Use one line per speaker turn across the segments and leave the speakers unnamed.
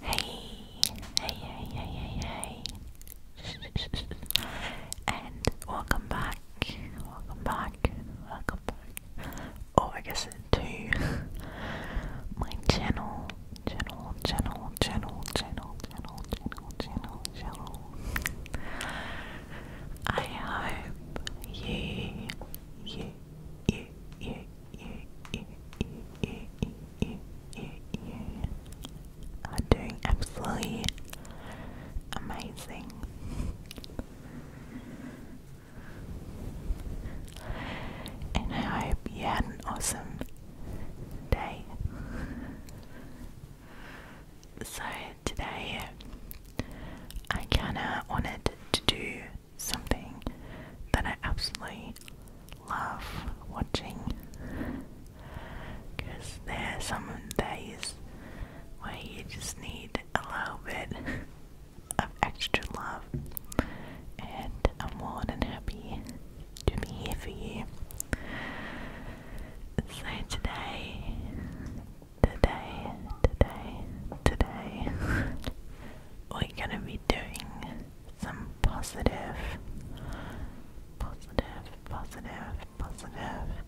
Hey, hey, hey, hey, hey, hey. and welcome back, welcome back, welcome back. Oh, I guess to my channel, channel, channel, channel, channel, channel, channel, channel, channel. I hope you, you, you, you, ear, ear, ear, ear, ear, ear are doing absolutely amazing. And I hope you had an awesome day. So today I kinda wanted to do something that I absolutely love watching because there are some days where you just need a little bit of extra love, and I'm more than happy to be here for you. So today, today, today, today, we're gonna be doing some positive, positive, positive, positive,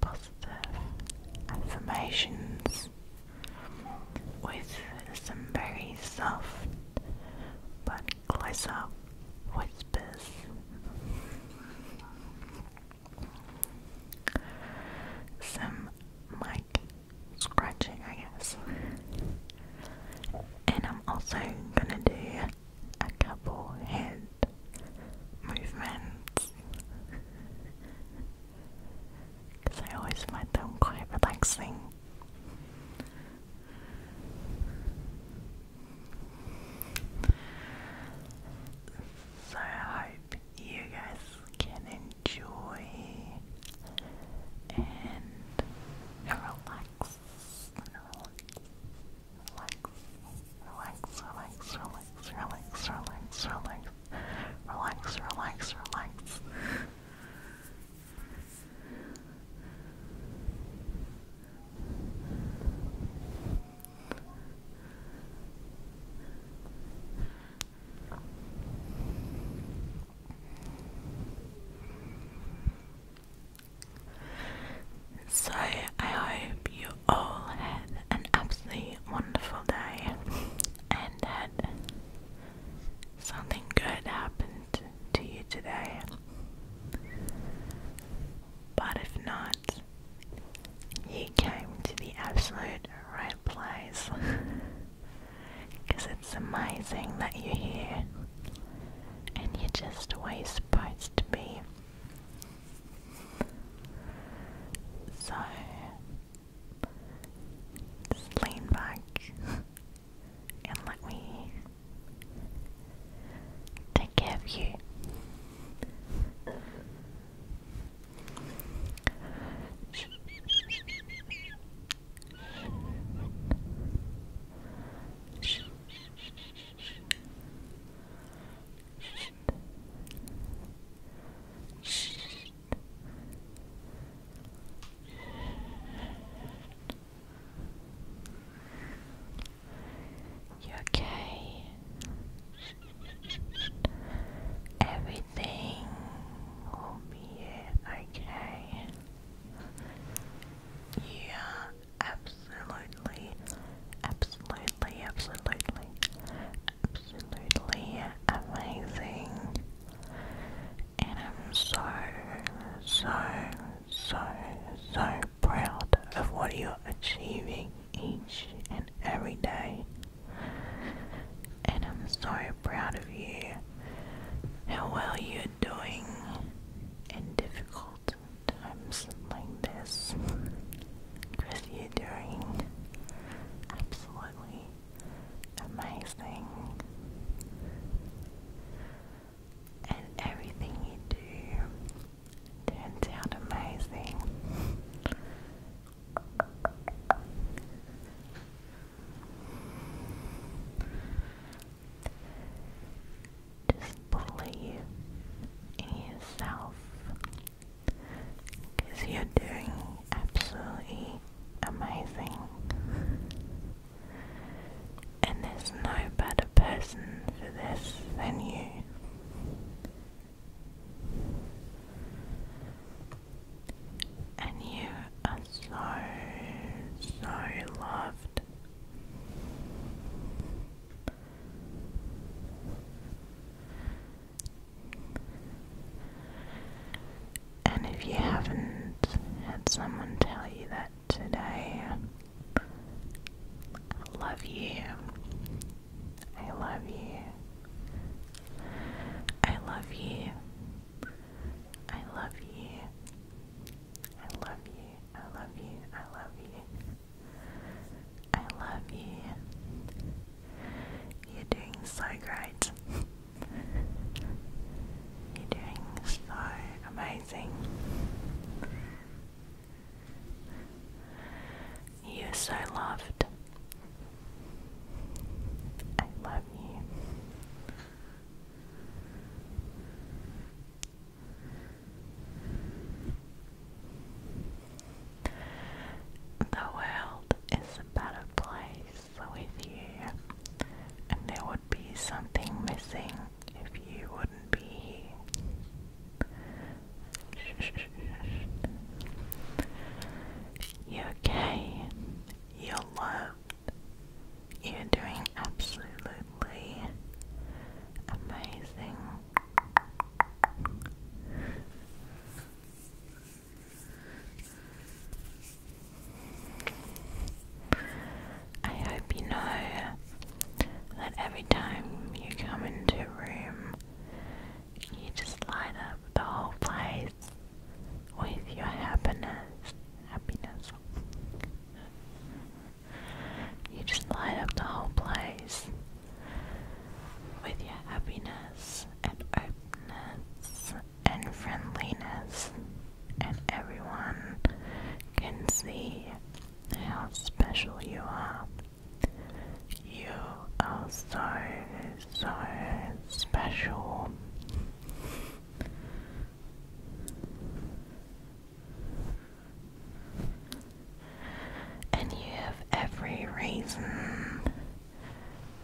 positive affirmations with some very soft but closer whispers. Some mic scratching, I guess. And I'm also gonna do a couple hand movements because I always find them quite relaxing. So I you guys can enjoy and relax. Relax, relax, relax, relax, relax, relax, relax, relax, relax, relax, relax. So, I hope you all had an absolutely wonderful day and that something good happened to you today. But if not, you came to the absolute right place. Because it's amazing that you're here and you're just where you're supposed to be. So, just lean back and let me take care of you. You okay? Everything will be okay. Yeah, absolutely, absolutely, absolutely, absolutely amazing. And I'm so, so, so, so proud of what you're achieving each and every day and I'm so proud of you. How well you're doing in difficult times like this. Because you're doing absolutely amazing. And everything you do turns out amazing. Just believe in yourself you're doing absolutely amazing. And there's no better person for this than you. And you are so, so loved. And if you haven't had someone tell you that today, I love you. I love you. I love you. I love you. I love you. I love you. I love you. I love you. You're doing so great. You're doing so amazing. You are so loved. I love you. The world is a better place with you, and there would be something missing if you wouldn't be here. You're okay. You're loved. You're doing absolutely amazing. I hope you know that every time you come into a room you just light up the whole place with your happiness. Happiness. You just light up the whole place with your happiness and openness and friendliness, and everyone can see how special you are. You are so, so special. And you have every reason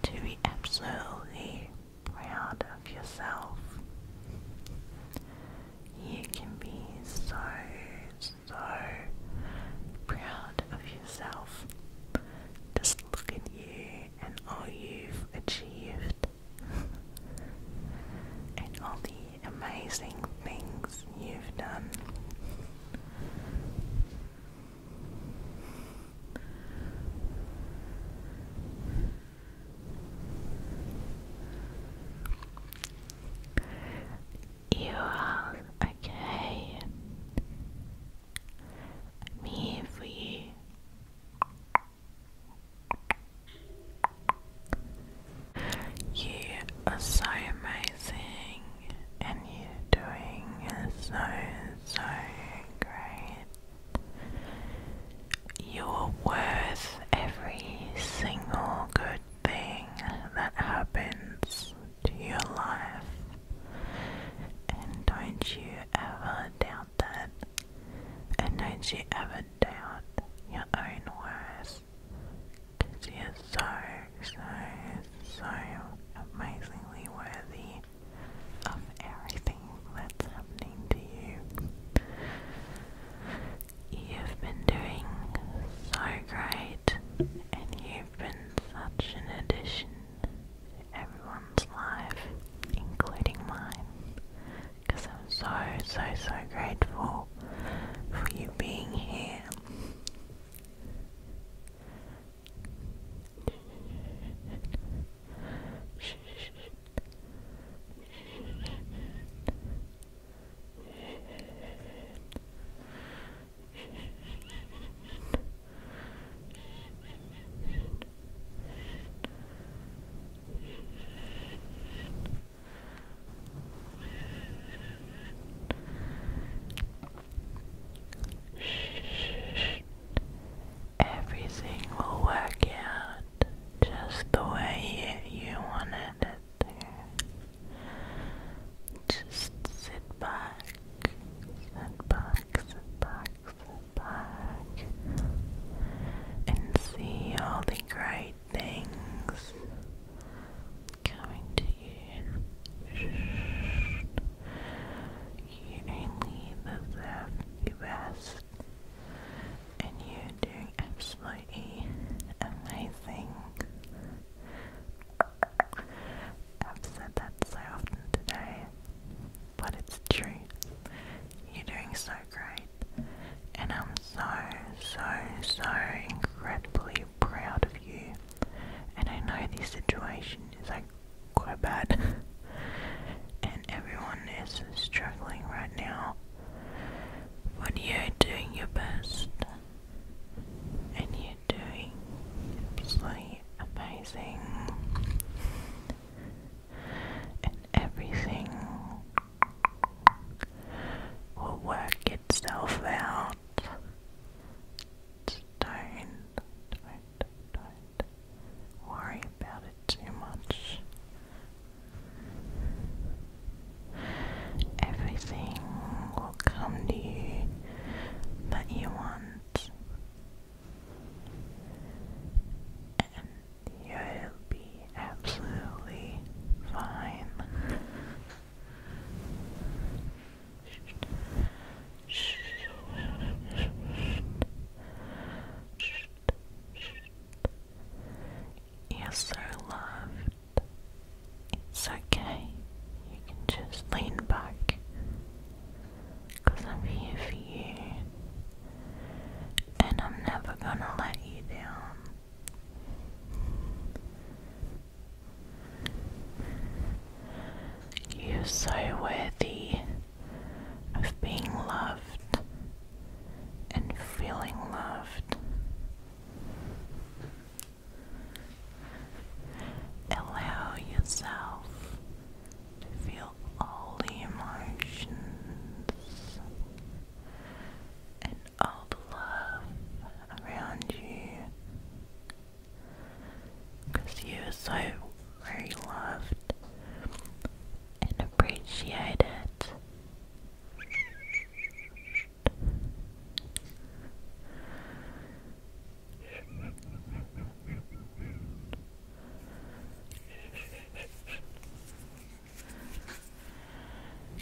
to be absolutely proud of yourself. You can be so, so proud of yourself. Just look at you and all you've achieved, and all the amazing things you've done you are okay. i here for you. You are so amazing, and you're doing so, so great. You're worth every single good thing that happens to your life. And don't you ever doubt that. And don't you ever doubt your own worth? Because you're so, so, so amazingly worthy of everything that's happening to you. You've been doing so great, and you've been such an addition to everyone's life, including mine. Because I'm so, so, so grateful for you being here. Everything will work out just the way you, wanted it just sit back, sit back, sit back, sit back, and see all the great things coming to you. You only deserve the best and you're doing absolutely amazing. I've said that so often today, but it's true. You're doing so great, and I'm so, so, so incredibly proud of you. And I know this situation is like quite bad, and everyone is struggling right now when you're doing your best and you're doing absolutely amazing and everything will work itself out. Don't, don't, don't worry about it too much. Everything will come to you that you want, and you'll be absolutely fine. You're so loved. It's okay. You can just lean back. I'm here for you. And I'm never gonna let you down. You're so worthy of being loved and feeling loved. Allow yourself to feel all the emotions and all the love around you because you are so very loved and appreciated.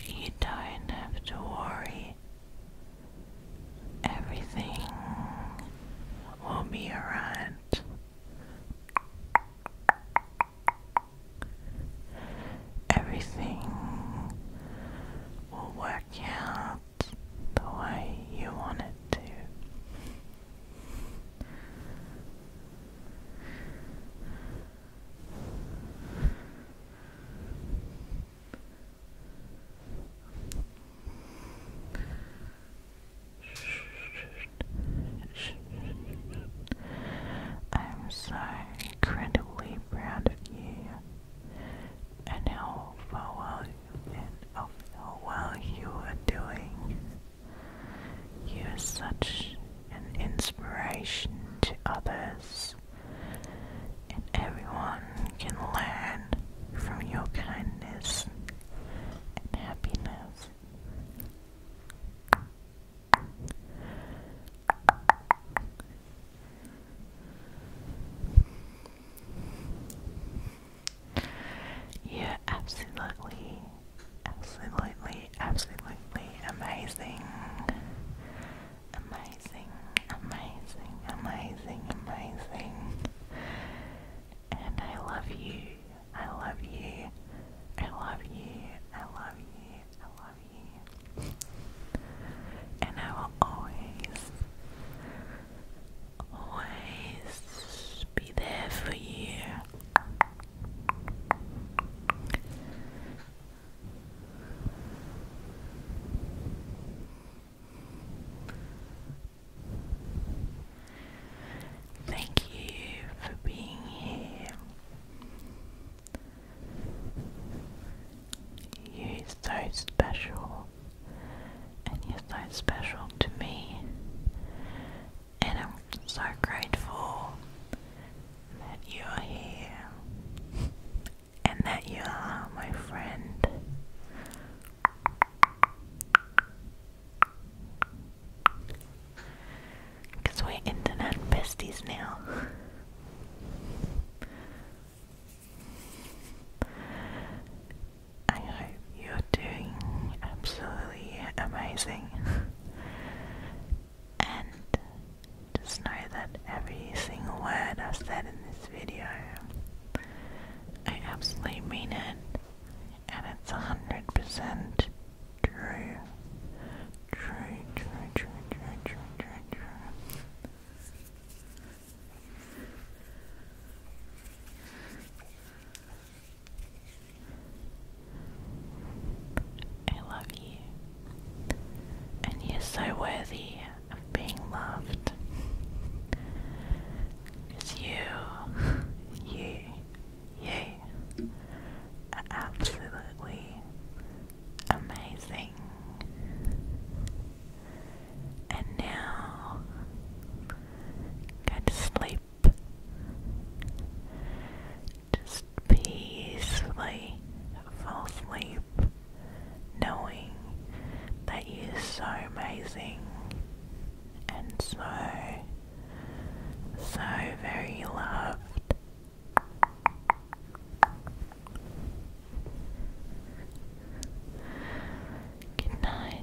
You don't have to worry. Everything will be alright. Everything will work out the way you want it to. I'm so incredibly proud of you and how well and of how well you are doing. You are such an inspiration to others, and everyone can learn from your kindness and happiness. You're absolutely, absolutely, absolutely amazing. Amazing, amazing, amazing, amazing. And I love you. I love you. I love you. I love you. I love you. And I will always, always be there for you. Thank you for being here. You're so special, and you're so special to me, and I'm so grateful that you're here and that you are my friend. Because we're internet besties now. I hope you're doing absolutely amazing. and just know that every single word i said in this video, I absolutely mean it and it's 100% true. True, true, true, true, true, true, true. I love you, and you're so worthy of being loved. It's you. you. You are absolutely amazing. And now, go to sleep. Just peacefully fall asleep, knowing that you're so amazing and so, so very loved. Good night.